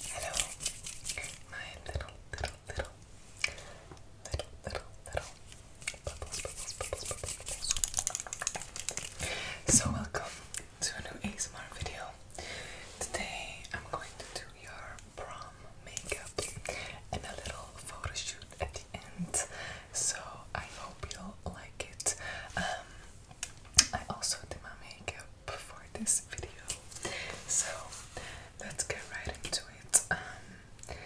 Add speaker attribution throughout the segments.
Speaker 1: Hello, my little, little, little, little, little, little bubbles, bubbles, bubbles, bubbles, So welcome to a new ASMR video. Today I'm going to do your prom makeup and a little photo shoot at the end. So I hope you'll like it. Um, I also did my makeup up this video. So let's get right into it. Um,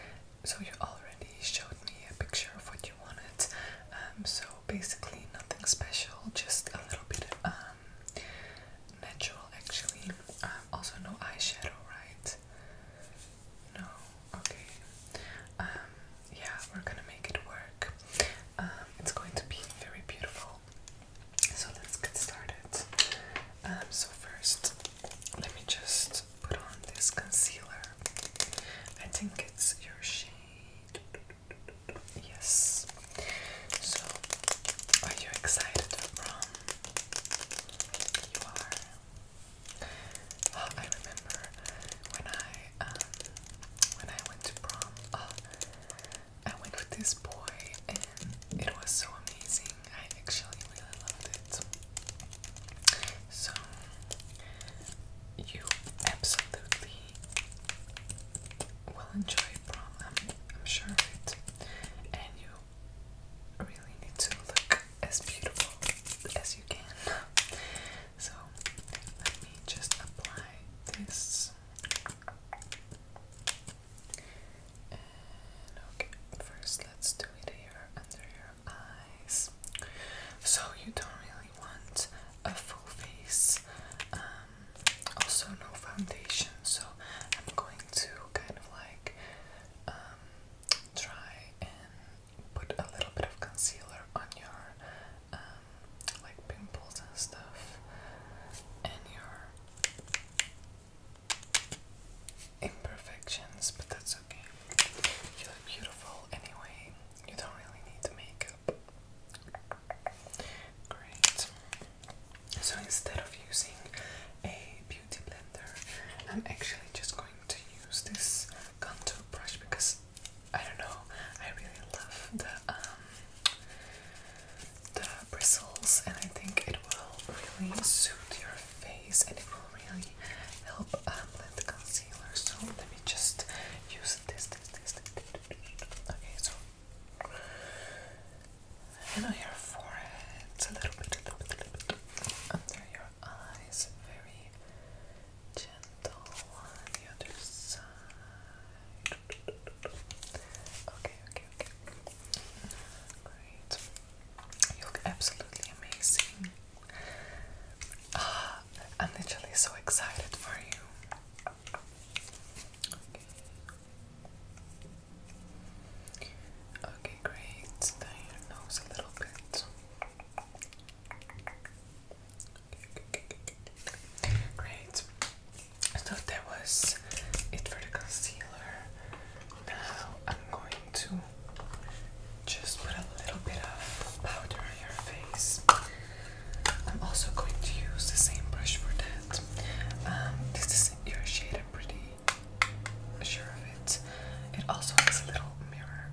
Speaker 1: so you already showed me a picture of what you wanted. Um, so basically nothing special, just a little bit um, natural actually. Um, also no eyeshadow, right? No, okay. Um, yeah, we're gonna make it work. it's going to be very beautiful. So let's get started. Um, so first, let me just put on this concealer. I think it's your shade. Yes. So, are you excited for You are. Oh, I remember when I um, when I went to prom. Oh, I went with this boy and it was so amazing. I actually really loved it. So you absolutely will enjoy it, I'm, I'm sure of And you really need to look as beautiful as you can. So let me just apply this okay, first let's do it here under your eyes. So you don't really want a full face, um, also no foundation. So I'm going to kind of like um, try and put a little bit of concealer on your um, like pimples and stuff and your imperfections, but that's okay. You look beautiful anyway. You don't really need the makeup. Great. So instead of using a beauty blender, I'm actually just going to use this contour brush because I don't know, I really love the um the bristles, and I think it will really suit your face and it will really help um, blend the concealer. So let me just use this, this, this, this. Okay, so and on your forehead, a little bit, a little bit, a little bit under your eyes, very gentle on the other side. Okay, okay, okay. Great. You look absolutely amazing. Ah, I'm literally so excited for you. Okay. great. Down your nose a little bit. Great. I thought that was it for the concealer. Now I'm going to just put a little bit of powder on your face. I'm also going to use the same brush for that. Um, this is your shade, I'm pretty sure of it. It also has a little mirror.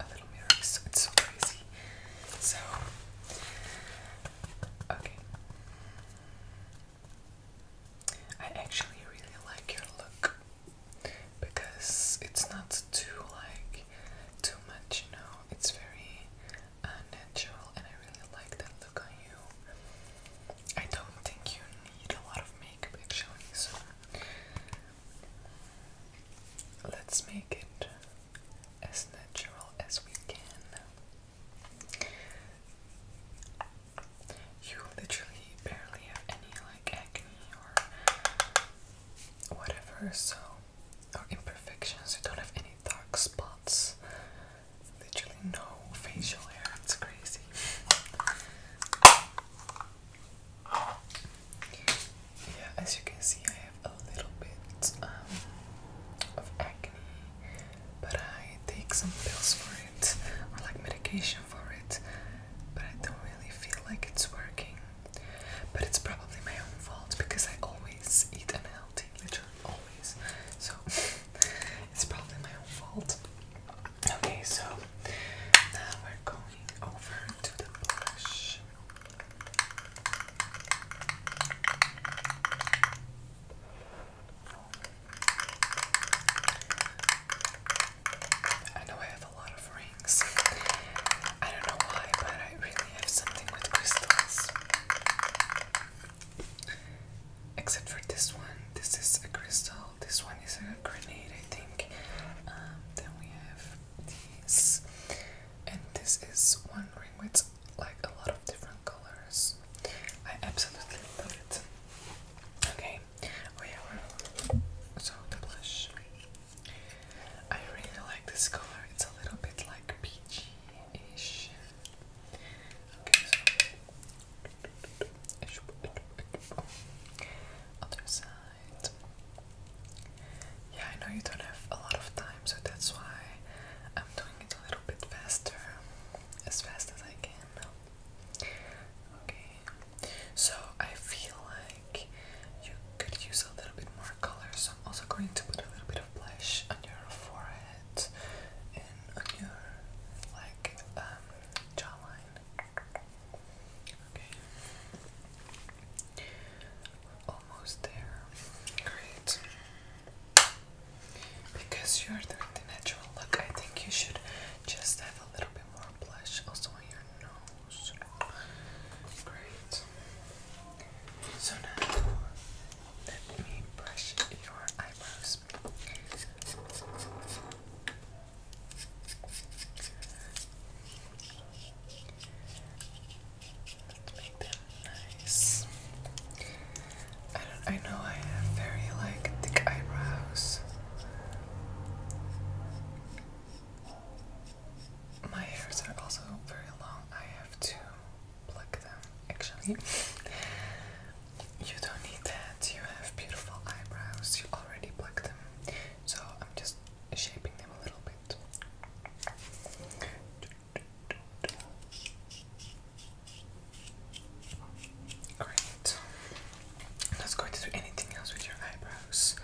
Speaker 1: A little mirror, so it's so crazy. So, okay. I actually really like your look because it's not too like too much, you know. It's very uh, natural, and I really like that look on you. I don't think you need a lot of makeup actually, so let's make it as natural as we can. You literally barely have any like acne or whatever, so or imperfections. You don't have any dark spots. Literally no facial hair. It's crazy. Yeah, as you can see, I have a little bit um, of acne but I take some pills for it or like medication for it, but I don't really feel like it's working. But it's probably my own fault because I always eat unhealthy, literally always. So it's probably my own fault. Okay, so now we're going over to the blush. I know I have a lot of rings. I don't know why, but I really have something with crystals. Except for this one. This is a crystal. This one is a grenade, I think. Um, then we have these. And this is one ring with like a lot of different colors. I absolutely love it. Okay, oh yeah, so the blush. I really like this color. It's a little bit like peachy-ish. Okay, so other side. Yeah, I know you don't have a lot of time, so that's why I'm doing it a little bit faster as fast as I can. Okay, so I feel like you could use a little bit more color, so I'm also going to put a little bit of blush on your forehead and on your like um, jawline. Okay, almost there. Great. Because you're the natural look, I think you should just have a little bit more blush also on your nose. Great. So now let me brush your eyebrows. make them nice. I, I know I have very like thick eyebrows. My hairs are also very long. I have to pluck them actually. You don't need that. You have beautiful eyebrows. You already pluck them. So I'm just shaping them a little bit. Great. not going to do anything else with your eyebrows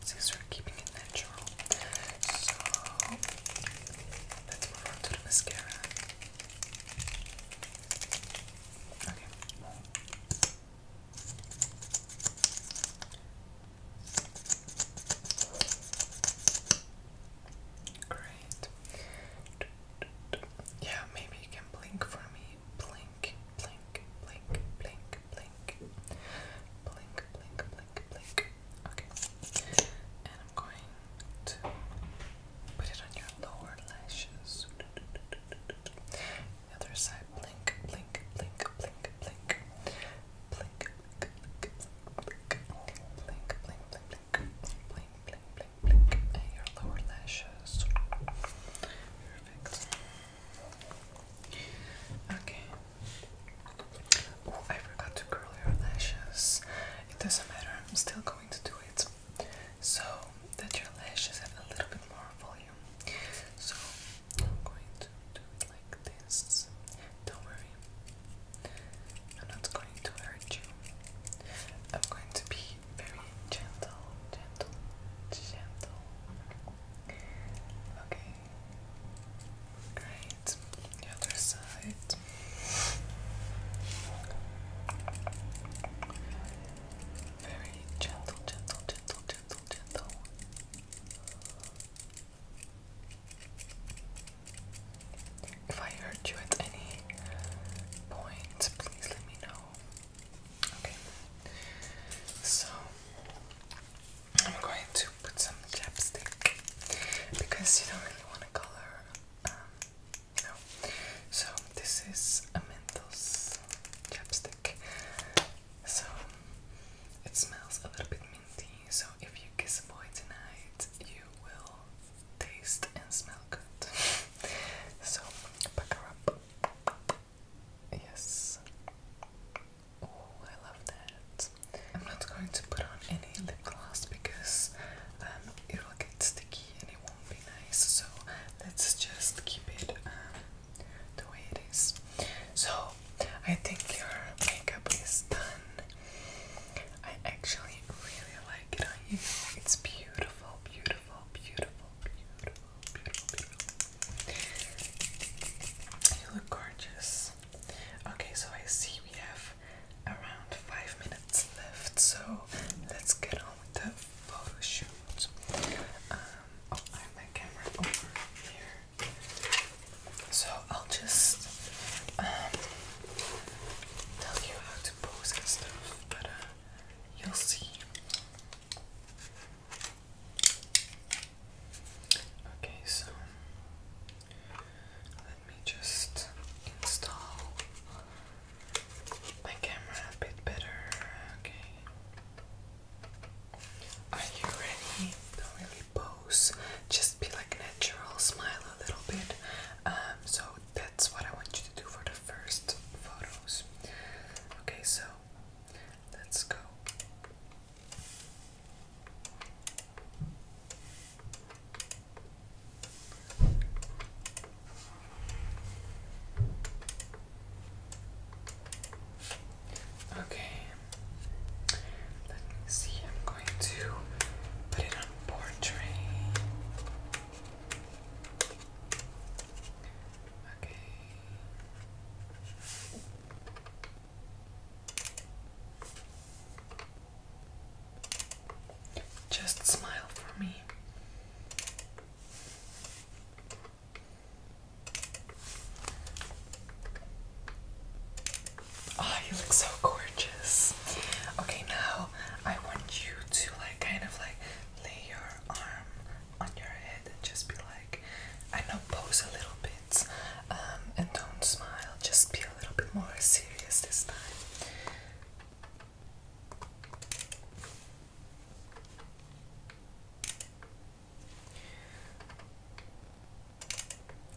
Speaker 1: since we're keeping it natural. So let's move on to the mascara. Okay. Great. Yeah, maybe you can blink for me. Blink, blink, blink, blink, blink. Blink, blink, blink, blink. Okay. And I'm going to put it on your lower lashes. other side, blink, blink, blink, blink, blink, blink, blink, blink, blink, blink, blink, blink, blink, blink, blink and your lower lashes. Perfect. Okay. Oh, I forgot to curl your lashes. It doesn't matter, I'm still going to do it. So that your lashes have a little bit more volume. So I'm going to do it like this. Don't worry. I'm not going to hurt you. I'm going to be very gentle, gentle, gentle. Okay. Great. The other side. Very gentle, gentle, gentle, gentle, gentle. If I hurt you at any point, please let me know. Okay. So I'm going to put some chapstick because you don't really want to color. Um, no. So this is a Mentos chapstick. So it smells a little bit minty. So if you kiss a boy tonight, you will taste and smell good. so, pack her up. Yes. Oh, I love that. I'm not going to put on any lip gloss because um, it will get sticky and it won't be nice. So let's just keep it um, the way it is. So I think your makeup is done. I actually really like it on you. It's beautiful, beautiful beautiful, beautiful, beautiful, beautiful, You look gorgeous. Okay, so I see we have around five minutes left, so let's get on with the photo Um, oh, I have my camera over here. So I'll just um, tell you how to pose and stuff, but uh, You'll see. Okay, so let me just install my camera a bit better. Okay. Are you ready? Don't really pose. Just be like natural, smile a little bit. Um, so that's what I want you to do for the first photos. Okay, so let's go. Okay, let me see. I'm going to put it on portrait. Okay. Just smile for me. Oh, you look so gorgeous. Okay, now I want you to like kind of like lay your arm on your head and just be like, I know, pose a little bit um, and don't smile, just be a little bit more serious this time.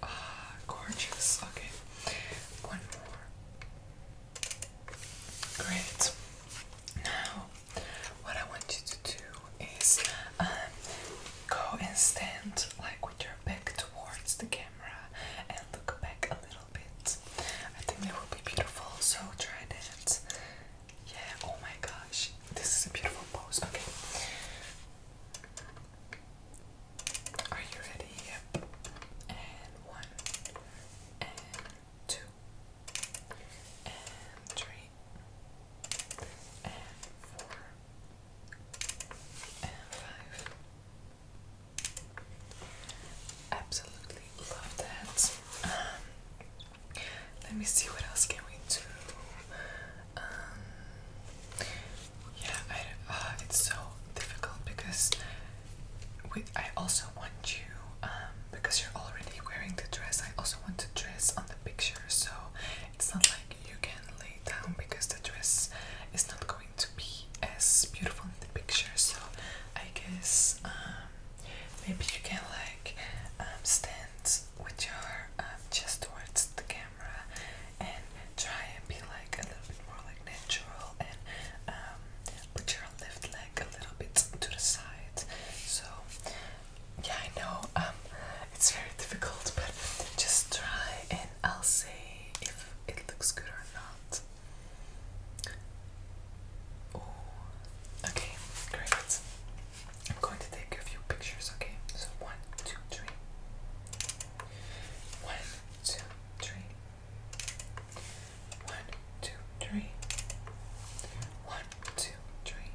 Speaker 1: Ah, gorgeous. Okay, one more. Great. Now, what I want you to do is um, go and stand like with your back towards the camera and look back a little bit. I think that will be beautiful, so try that. Yeah, oh my gosh, this is a beautiful pose. Okay. Are you ready? And one, and two, and three and four and five. Absolutely love that. Um, let me see what else can we do. Um, yeah, I, uh, it's so difficult because Wait, I also want you, um, because you're already wearing the dress, I also want the dress on the picture, so it's not like you can lay down because the dress is not going to be as beautiful in the picture. So I guess um, maybe you can like um, stand with your chest towards the camera and try and be like a little bit more like natural and put your left leg a little bit to the side. So, yeah, I know um, it's very difficult, but just try and I'll see if it looks good or not. Okay, great. I'm going to take a few pictures, okay? So, one, two, three. One, two, three. One, two, three. One, two, three.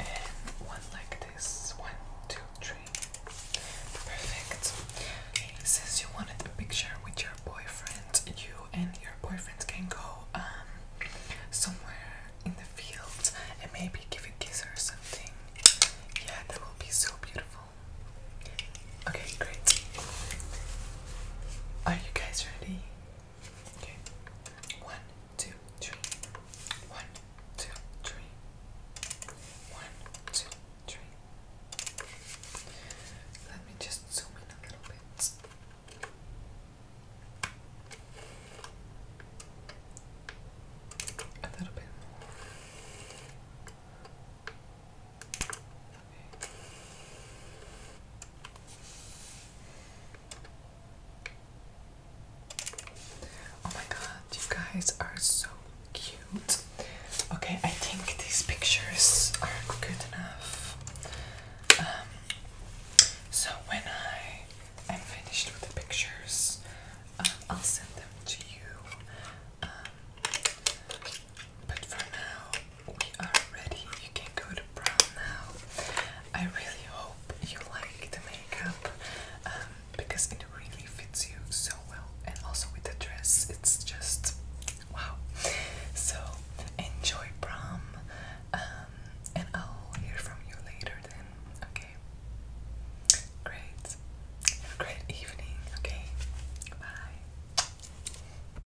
Speaker 1: And one like this. One, two, three. Perfect. Okay, since you wanted a picture with your boyfriend, you and your boyfriend can go um somewhere in the fields and maybe give a kiss or something. Yeah, that will be so beautiful. Okay, great. Are you guys ready? Okay. One, two, three. One, two, three. One, two, three. Let me just zoom in a little bit. A little bit Oh my god, you guys are so cute. Okay, I think these pictures are good enough. Um, so when I am finished with the pictures, um, I'll send them to you. Um, but for now, Alrighty, you can go to prom now. I really hope you like the makeup um, because it really fits you so well, and also with the dress, it's just wow. So enjoy prom, um, and I'll hear from you later. Then, okay. Great. great evening. Okay. Bye.